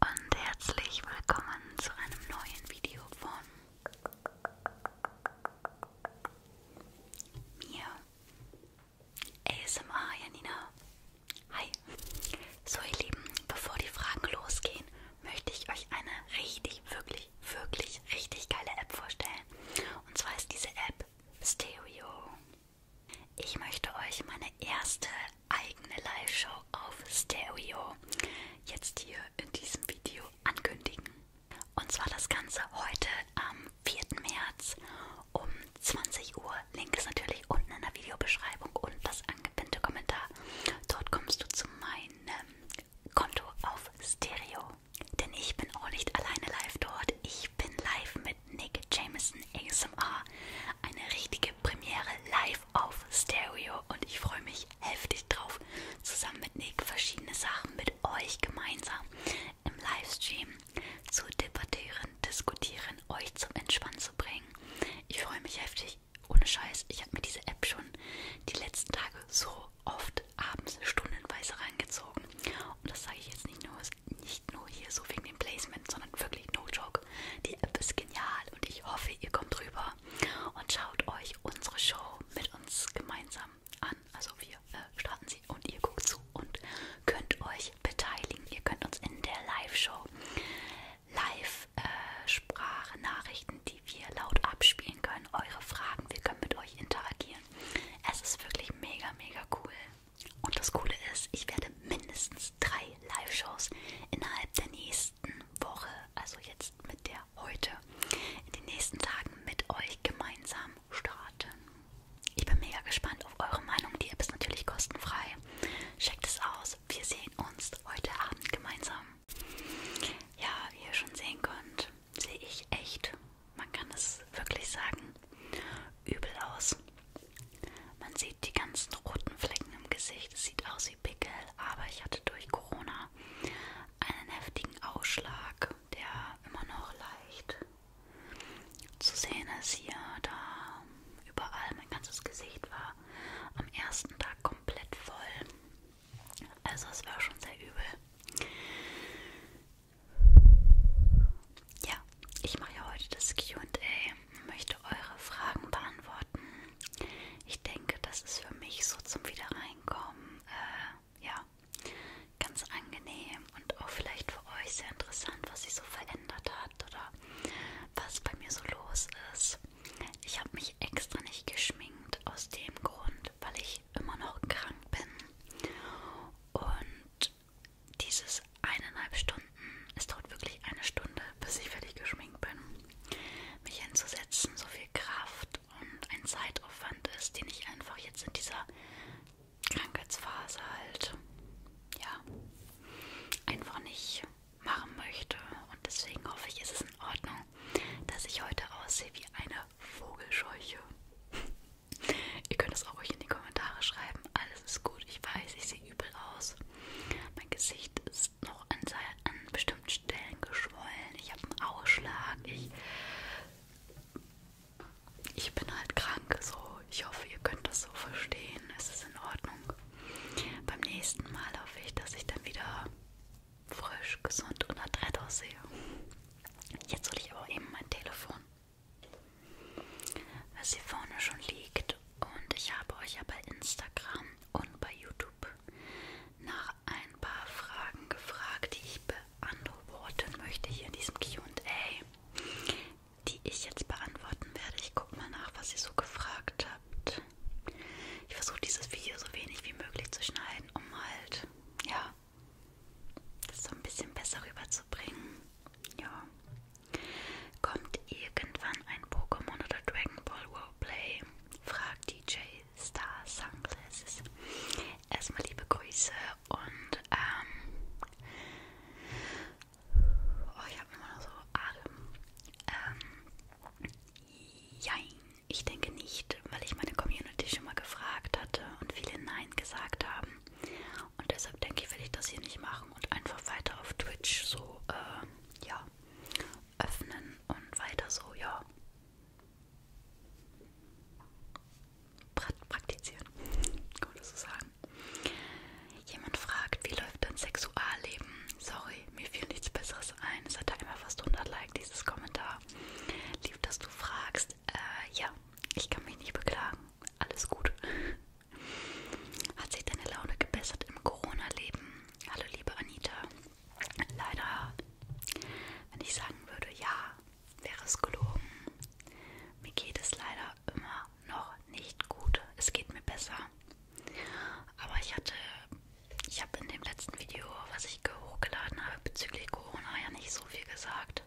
Und herzlich willkommen zu einem neuen Video von mir. ASMR Janina. Hi. So ihr Lieben, bevor die Fragen losgehen, möchte ich euch eine richtig, wirklich, wirklich, richtig geile App vorstellen. Und zwar ist diese App Stereo. Ich möchte euch meine erste eigene Live-Show auf Stereo jetzt hier in diesem Video ankündigen. Und zwar das Ganze heute am 4. März um 20 Uhr. Link ist natürlich unten in der Videobeschreibung und das angepinnte Kommentar. Dort kommst du zu meinem Konto auf Stereo. Denn ich bin auch nicht alleine live dort. Ich bin live mit Nick Jameson ASMR. Eine richtige Premiere live live auf Stereo und ich freue mich heftig drauf, zusammen mit Nick verschiedene Sachen mit euch gemeinsam im Livestream zu debattieren, diskutieren, euch zum Entspannen zu bringen. Ich freue mich heftig, ohne Scheiß. Ich habe mir diese App schon die letzten Tage so oft abends stundenweise reingezogen. Und das sage ich jetzt nicht nur, nicht nur hier so wegen dem Placement, sondern wirklich no joke. TikTok. Die App ist genial und ich hoffe, ihr kommt rüber und schaut euch unsere Show mit uns gemeinsam an. Also wir äh, starten sie und ihr guckt zu und könnt euch beteiligen. Ihr könnt uns in der Live-Show Live-Sprachnachrichten, äh, die wir laut abspielen können, eure Fragen, wir können mit euch interagieren. Es ist wirklich mega, mega cool. Und das Coole ist, ich werde mindestens bereits drei Live-Shows innerhalb der nächsten Woche, also jetzt mit der heute, in den nächsten Tagen mit euch gemeinsam starten. Ich bin mega gespannt auf eure Meinung. Die App ist natürlich kostenfrei. Checkt es aus. Wir sehen uns heute Abend gemeinsam. Ja, wie ihr schon sehen könnt, sehe ich echt, man kann es wirklich sagen, übel aus. Man sieht die ganzen roten Flecken im Gesicht. Es sieht aus wie Pickel, aber ich hatte durch Corona einen heftigen Ausschlag, der immer noch leicht zu sehen ist hier, da überall mein ganzes Gesicht war am ersten Tag komplett voll. Also es war schon sehr übel. Ja, ich mache ja heute das QA möchte eure Fragen beantworten. Ich denke, das ist für mich so zum Wiederreinkommen, äh, ja, ganz angenehm und auch vielleicht für euch sehr interessant, was sich so verändert hat oder was bei mir so los ist. Ich habe mich extra nicht geschminkt aus dem Grund, weil ich immer noch krank bin. Und dieses eineinhalb Stunden, es dauert wirklich eine Stunde, bis ich fertig geschminkt bin, mich hinzusetzen, so viel Kraft und ein Zeitaufwand ist, den ich einfach jetzt in dieser Krankheitsphase halt, ja, einfach nicht machen möchte. Und deswegen hoffe ich, ist es in Ordnung, dass ich heute aussehe wie eine Vogelscheuche. Ihr könnt es auch euch in die Kommentare schreiben. Alles ist gut. Ich weiß, ich sehe sie übel aus. Mein Gesicht ist noch an, an bestimmten Stellen geschwollen. Ich habe einen Ausschlag. Ich, ich bin halt krank. So, ich hoffe, ihr könnt das so verstehen. Es ist in Ordnung. Beim nächsten Mal hoffe ich, dass ich dann wieder frisch, gesund und adrett aussehe. Jetzt hole ich aber eben mein Telefon, was hier vorne schon liegt und ich habe euch ja bei Instagram und bei YouTube nach ein paar Fragen gefragt, die ich beantworten möchte hier in diesem QA, die ich jetzt beantworten werde. Ich gucke mal nach, was ihr so gefragt habt. Ich versuche dieses Video so wenig wie möglich zu schneiden, um halt, ja, das so ein bisschen besser rüberzubringen. Ja. Kommt irgendwann ein Pokémon oder Dragon Ball Roleplay? fragt DJ Star Sunglasses. Erstmal liebe Grüße und ähm. Oh, ich habe immer noch so Atem. Ähm. Jein. Ich denke nicht, weil ich meine Community schon mal gefragt hatte und viele Nein gesagt haben. Und deshalb denke ich, will ich das hier nicht machen machen und einfach weiter auf Twitch so, äh, ja, öffnen und weiter so, ja, praktizieren, kann man das so sagen. Jemand fragt, wie läuft dein Sexualleben? Sorry, mir fiel nichts Besseres ein. Es hat da immer fast 100 Like, dieses Kommentar. Lieb, dass du fragst. Äh, ja, ich kann mich nicht beklagen. Alles gut. Hat sich deine Laune gebessert im Corona-Leben? Hallo liebe Anita. Leider, wenn ich sagen würde, ja, wäre es gelogen. Mir geht es leider immer noch nicht gut. Es geht mir besser. Aber ich hatte, ich habe in dem letzten Video, was ich hochgeladen habe bezüglich Corona, ja nicht so viel gesagt.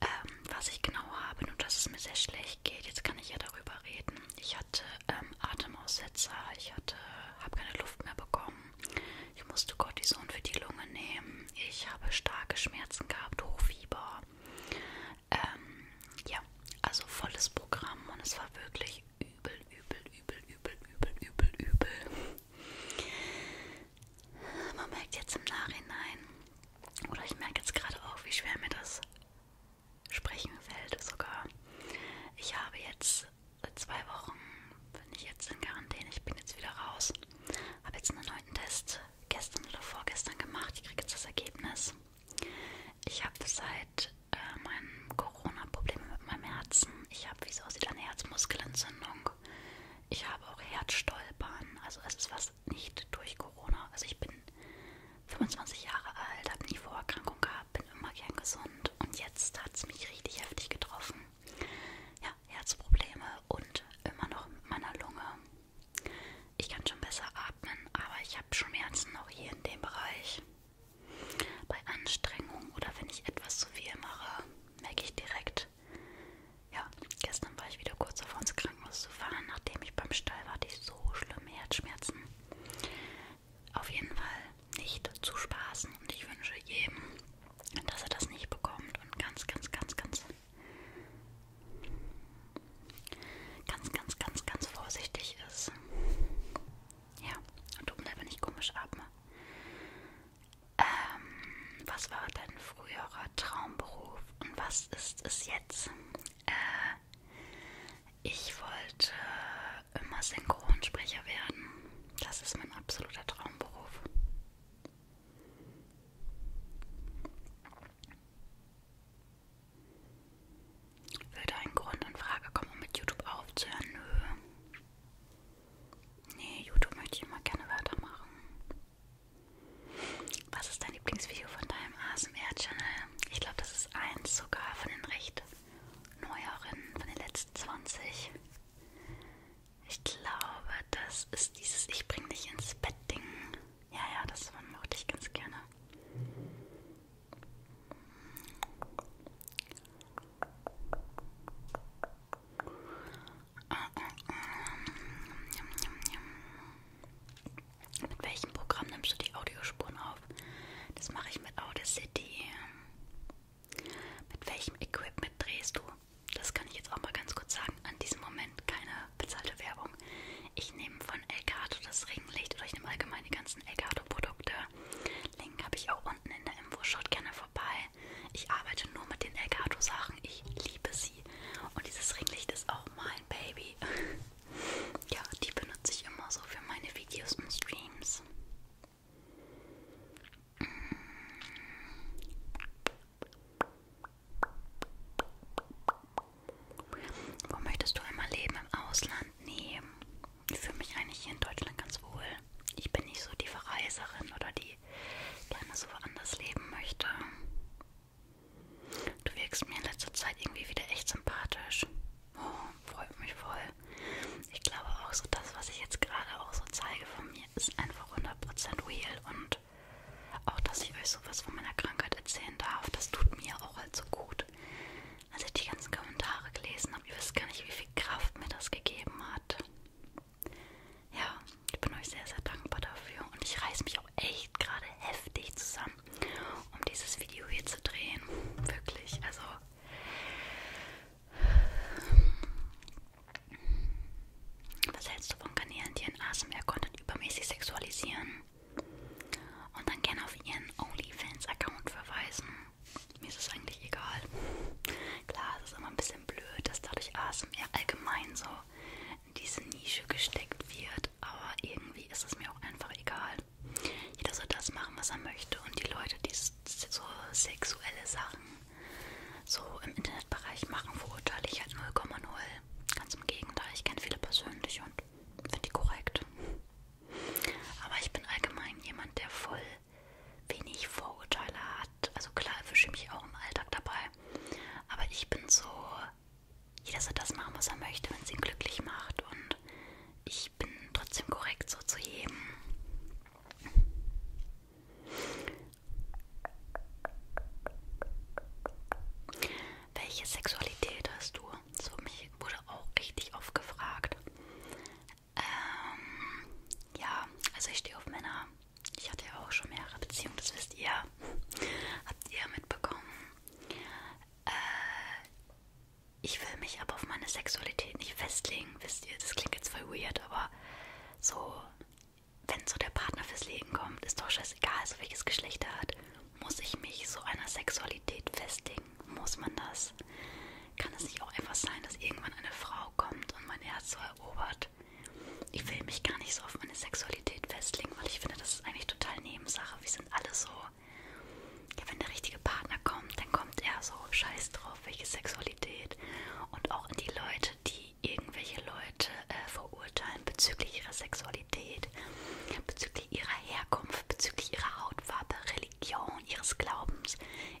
Ähm, was ich genau habe, nur dass es mir sehr schlecht nicht geht. Jetzt kann ich ja darüber reden. Ich hatte ähm, Atemaussetzer, ich hatte, habe keine Luft mehr bekommen. Ich musste Cortison für die Lunge nehmen. Ich habe starke Schmerzen gehabt, Hochfieber. Ähm, ja, also volles Programm und es war wirklich übel, übel, übel, übel, übel, übel, übel. Man merkt jetzt im Nachhinein, oder ich merke jetzt gerade auch, wie schwer mir das Sprechen fällt sogar. Ich habe jetzt seit äh, zwei Wochen, bin ich jetzt in Quarantäne, ich bin jetzt wieder raus. Habe jetzt einen neuen Test gestern oder vorgestern gemacht. Ich kriege jetzt das Ergebnis. Ich habe seit äh, meinem Corona Probleme mit meinem Herzen. Ich habe, wie es aussieht, eine Herzmuskelentzündung. Ich habe auch Herzstolpern. Also es ist was nicht durch Corona. Also ich bin 25 Jahre alt, habe nie Vorerkrankung gehabt, bin immer gern gesund und jetzt hat es mich richtig heftig getroffen. Ja, Herzprobleme und immer noch mit meiner Lunge. Ich kann schon besser atmen, aber ich habe Schmerzen noch hier in dem Bereich. Bei Anstrengung oder wenn ich etwas zu viel mache, merke ich direkt. Ja, gestern war ich wieder kurz auf uns Krankenhaus zu fahren, nachdem ich beim Stall war, hatte ich so schlimme Herzschmerzen. Auf jeden Fall nicht zu spaßen und ich wünsche jedem, dass er das nicht bekommt und ganz, ganz, ganz, ganz, ganz, ganz, ganz, ganz vorsichtig ist. Ja, und um wenn ich komisch atme. Ähm, was war dein früherer Traumberuf und was ist es jetzt? Äh, ich wollte immer Synchronsprecher werden. Das ist mein absoluter Traumberuf. Würde ein Grund in Frage kommen, um mit YouTube aufzuhören? Nö. Nee, YouTube möchte ich immer gerne weitermachen. Was ist dein Lieblingsvideo von deinem ASMR-Channel? Ich glaube, das ist eins sogar von den recht neueren, von den letzten 20. Ich glaube, das ist dieses Ich bring dich ins Bett-Ding. Ja, ja, das mochte ich ganz gerne. Mm, mm, mm. Mit welchem Programm nimmst du die Audiospuren auf? Das mache ich mit Audacity. Mit welchem Equipment drehst du? Das kann ich jetzt auch mal ganz kurz sagen. An diesem Moment keine bezahlte Werbung. Ich nehme von Elgato das Ringlicht oder ich nehme allgemein die ganzen Elgato-Produkte. Link habe ich auch unten in der Info. Schaut gerne vorbei. Ich arbeite nur mit den Elgato-Sachen. Ich liebe sie. Und dieses Ringlicht ist auch mein Baby. Ja, die benutze ich immer so für meine Videos und Streams. Hm. Wo möchtest du einmal leben? Im Ausland? Nee. Ich fühle mich eigentlich hier in Deutschland ganz wohl. Ich bin nicht so die Verreiserin oder die gerne so woanders leben möchte. Du wirkst mir in letzter Zeit irgendwie wieder echt sympathisch. Oh, freut mich voll. Ich glaube auch so, das, was ich jetzt gerade auch so zeige von mir, ist einfach 100% real. Und auch, dass ich euch sowas von meiner Krankheit erzählen darf, das tut mir auch halt so gut. Als ich die ganzen Kommentare gelesen habe, ihr wisst gar nicht, wie viel Kraft mir das gegeben hat. Ja, ich bin euch sehr, sehr dankbar dafür und ich reiß mich auch echt gerade heftig zusammen, um dieses Video hier zu drehen. Wirklich, also was hältst du von Kanälen, die ihren ASMR-Content übermäßig sexualisieren und dann gerne auf ihren OnlyFans-Account verweisen? Mir ist es eigentlich egal. Klar, es ist immer ein bisschen blöd, dass dadurch ASMR allgemein so in diese Nische gesteckt wird, aber irgendwie ist es mir auch einfach egal. Jeder soll das machen, was er möchte und die Leute, die so sexuelle Sachen so im Internetbereich machen, verurteile ich halt 0,0. Ganz im Gegenteil, ich kenne viele persönlich und finde die korrekt. Aber ich bin allgemein jemand, der voll wenig Vorurteile hat. Also klar erwische ich mich auch im Alltag dabei. Aber ich bin so jeder soll das machen, was er möchte, wenn es ihn glücklich macht. Und ich bin trotzdem korrekt so zu jedem. Welche Sexualität hast du? So mich wurde auch richtig oft gefragt. Ähm, ja, also ich stehe auf Männer. Ich hatte ja auch schon mehrere Beziehungen, das wisst ihr. Habt ihr mitbekommen? Äh, ich will mich aber auf meine Sexualität nicht festlegen, wisst ihr, das klingt jetzt voll weird, aber so, wenn so der Partner fürs Leben kommt, ist doch scheißegal, so also welches Geschlecht er hat, muss ich mich so einer Sexualität festlegen? Muss man das? Kann es nicht auch einfach sein, dass irgendwann eine Frau kommt und mein Herz so erobert? Ich will mich gar nicht so auf meine Sexualität festlegen, weil ich finde, das ist eigentlich total total Nebensache. Wir sind alle so, ja, wenn der richtige Partner kommt, dann kommt er so scheiß drauf, welche Sexualität. Und auch in die Leute, die irgendwelche Leute äh, verurteilen bezüglich ihrer Sexualität, bezüglich ihrer Herkunft, bezüglich ihrer Hautfarbe, Religion, ihres Glaubens,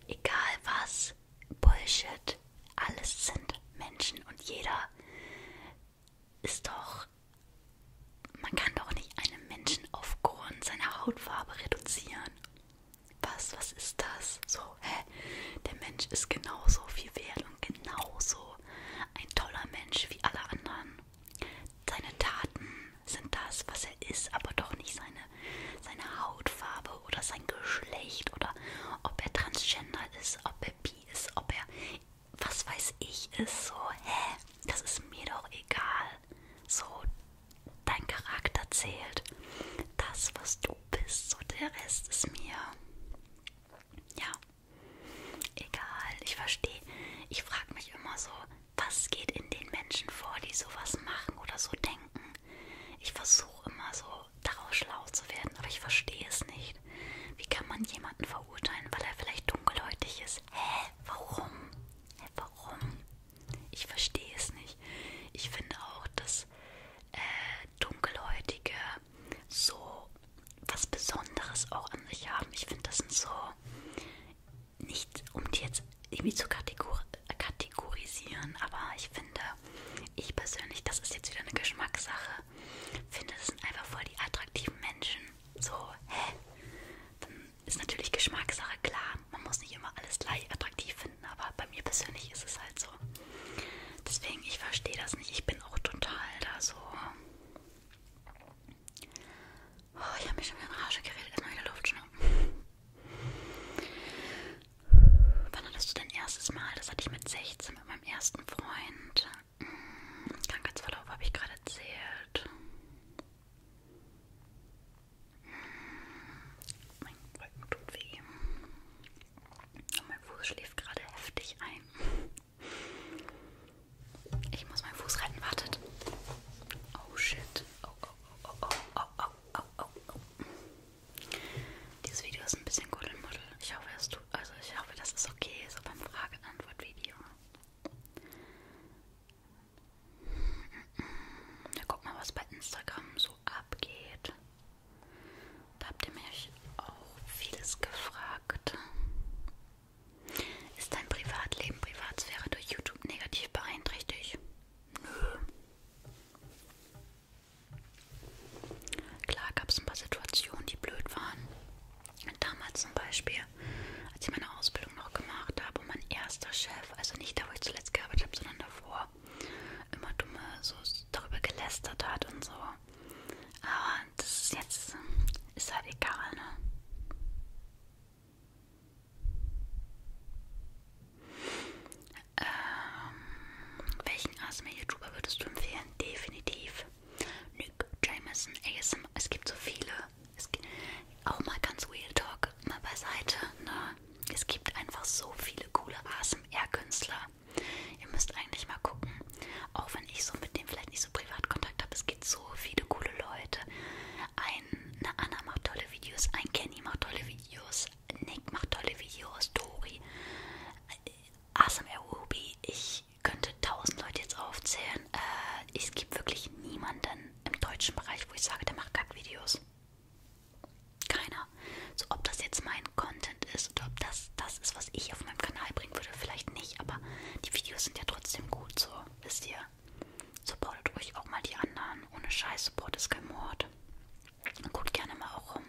egal was, Bullshit. Alles sind Menschen und jeder ist doch. Man kann doch nicht einen Menschen aufgrund seiner Hautfarbe reduzieren. Was, was ist das? So, hä? Der Mensch ist genauso viel wert und genauso ein toller Mensch wie alle anderen. Seine Taten sind das, was er ist, aber doch nicht seine, seine Hautfarbe oder sein Geschlecht oder ob er transgender ist, ob er bi ist, ob er was weiß ich, ist so, hä, das ist mir doch egal. So, dein Charakter zählt. Das, was du bist, so der Rest ist mir. Ja, egal. Ich verstehe. Ich frage mich immer so, was geht in den Menschen vor, die sowas machen oder so denken. Ich versuche immer so daraus schlau zu werden, aber ich verstehe es nicht nicht. Wie kann man jemanden verurteilen, weil er vielleicht dunkelhäutig ist? Hä? Warum? Hä, warum? Ich verstehe es nicht. Ich finde auch, dass äh, Dunkelhäutige so was Besonderes auch an sich haben. Ich finde, das sind so nicht, um die jetzt irgendwie zu kategor kategorisieren, aber ich finde, ich persönlich, das ist jetzt wieder eine Geschmackssache finde, das sind einfach voll die attraktiven Menschen. So, hä? Dann ist natürlich Geschmackssache klar. Man muss nicht immer alles gleich attraktiv finden, aber bei mir persönlich ist es halt so. Deswegen, ich verstehe das nicht. Ich bin auch total da so. Oh, ich habe mich schon wieder in Rage geredet. Erstmal wieder Luft schnappen. Wann hattest du dein erstes Mal? Das hatte ich mit 16 mit meinem ersten Freund. Krankheitsverlauf habe ich gerade erzählt. Mein Rücken tut weh. Und mein Fuß schläft gerade heftig ein. Ich muss meinen Fuß retten, wartet. Oh shit. Oh, oh, oh, oh, oh, oh, oh, oh, oh. Dieses Video ist ein bisschen Kuddelmuddel. Ich hoffe, es tut. Also ich hoffe, das ist okay, so beim Frage-Antwort-Video. Ja, guck mal, was bei Instagram so abgeht. Da habt ihr mich auch vieles gefragt. Ist dein Privatleben, Privatsphäre durch YouTube negativ beeinträchtigt? Nö. Klar gab es ein paar Situationen, die blöd waren. Damals zum Beispiel, als ich meine Ausbildung noch gemacht habe und mein erster Chef, also nicht da, wo ich zuletzt gearbeitet habe, sondern davor, immer dumme so darüber gelästert hat und so. Aber das ist jetzt, ist halt egal, ne? Ähm, welchen ASMR-YouTuber würdest du empfehlen? Definitiv. Nö, Luke Jameson ASMR. Es gibt so viele. Es gibt auch mal ganz Real Talk, mal beiseite. Ne? Es gibt einfach so viele coole ASMR-Künstler. Ihr müsst eigentlich mal gucken. Auch wenn ich so mit dem vielleicht nicht so privat Kontakt habe. Es gibt so viele coole Leute. Ein, eine Anna macht tolle Videos. Ein Kenny macht tolle Videos. Nick macht tolle Videos. Dori. ASMR Ruby. Ich ich könnte tausend Leute jetzt aufzählen. Äh, es gibt wirklich niemanden im deutschen Bereich, wo ich sage, der macht Kackvideos. Keiner. So, ob das jetzt mein Content ist oder ob das das ist, was ich auf meinem Kanal bringen würde, vielleicht nicht, aber die Videos sind ja trotzdem gut, so, wisst ihr. Supportet ruhig auch mal die anderen. Ohne Scheiß, Support ist kein Mord. Guckt gerne mal auch rum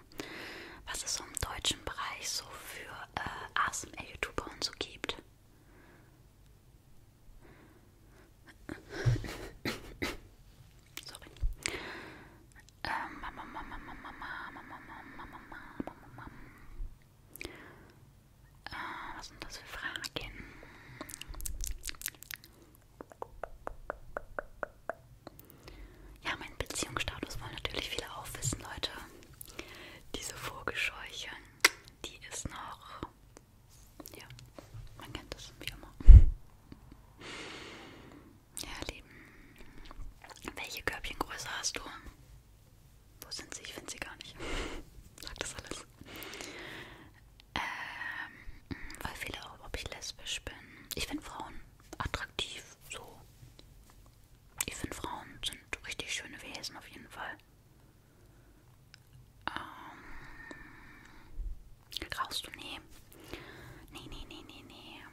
was es so im deutschen Bereich so für äh, ASMR-YouTuber und so gibt. Sorry. Ähm, Mama, Mama, Mama, Mama, Mama, Mama, Mama, Mama. Äh, was sind das für Fragen? Ja, mein Beziehungsstatus wollen natürlich viele auch wissen, Leute. Diese Vogelscheuche, die ist noch. Ja, man kennt das wie immer. Ja, Lieben. Welche Körbchengröße hast du? Wo sind sie? Ich finde sie gar nicht. Sagt das alles. Ähm, weil viele auch, ob ich lesbisch bin. Ich finde Frauen attraktiv, so. Ich finde, Frauen sind richtig schöne Wesen auf jeden Fall. Ähm, rauchst du? Nee. Nee, nee, nee, nee, nee.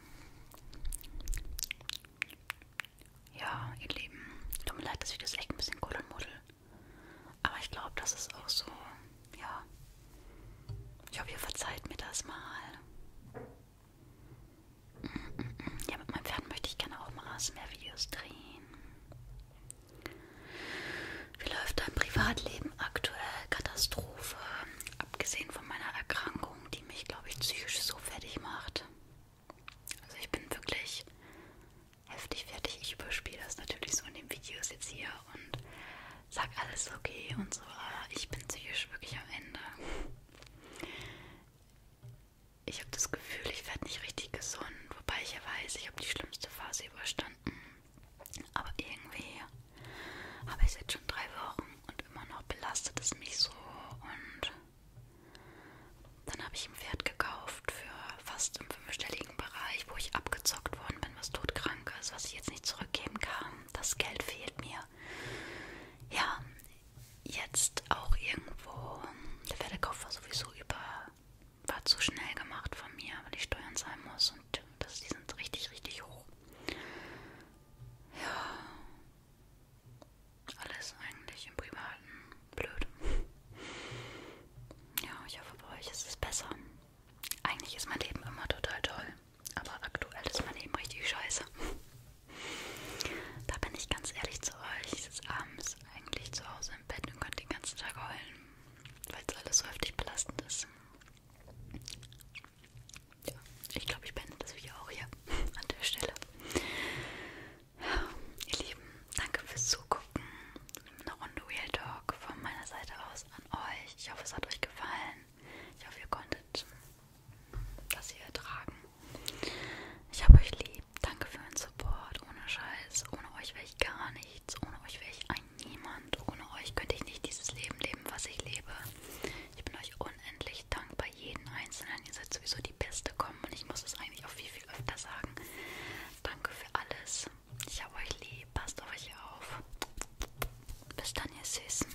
Ja, ihr Lieben. Tut mir leid, dass ich das echt ein bisschen kuddelmuddel. Aber ich glaube, das ist auch so, ja. Ich hoffe, ihr verzeiht mir das mal. Ja, mit meinem Pferd möchte ich gerne auch mal ASMR-Videos drehen. Wie läuft dein Privatleben aktuell? Katastrophe. Abgesehen von meiner Erkrankung, die mich, glaube ich, psychisch so fertig macht. Also ich bin wirklich heftig fertig. Ich überspiele das natürlich so in den Videos jetzt hier und sag alles okay und so. Aber ich bin psychisch wirklich am Ende ich habe das Gefühl, ich werde nicht richtig gesund, wobei ich ja weiß, ich habe die schlimmste Phase überstanden. Aber irgendwie habe ich es jetzt schon drei Wochen und immer noch belastet es mich so. Und dann habe ich ein Pferd gekauft für fast im fünfstelligen Bereich, wo ich abgezockt worden bin, was todkrank ist, was ich jetzt nicht zurückgeben kann. Das Geld fehlt mir. Ja, jetzt auch irgendwo, der Pferdekauf war sowieso über, war zu schnell gemacht von mir, weil ich Steuern zahlen muss und das, die sind richtig, richtig hoch. Ja, alles eigentlich im Privaten blöd. Ja, ich hoffe bei euch ist es besser. Eigentlich ist mein Leben immer total toll, aber aktuell ist mein Leben richtig scheiße. Da bin ich ganz ehrlich zu euch. Ich sitze abends eigentlich zu Hause im Bett und könnte den ganzen Tag heulen, weil es alles so heftig belastend ist. Ja, ich glaube, ich beende das Video auch hier an der Stelle. Ja, ihr Lieben, danke fürs Zugucken. Eine Runde Real Talk von meiner Seite aus an euch. Ich hoffe, es hat euch gefallen. Ich hoffe, ihr konntet dass ihr ertragen. Ich habe euch lieb. Danke für den Support. Ohne Scheiß. Ohne euch wäre ich gar nichts. Ohne euch wäre ich ein Niemand. Ohne euch könnte ich nicht dieses Leben leben, was ich lebe. Ich bin euch unendlich dankbar, jeden Einzelnen. Ihr seid sowieso die Beste kommen und ich muss es eigentlich auch viel, viel öfter sagen. Danke für alles. Ich habe euch lieb. Passt auf euch auf. Bis dann, ihr Süßen.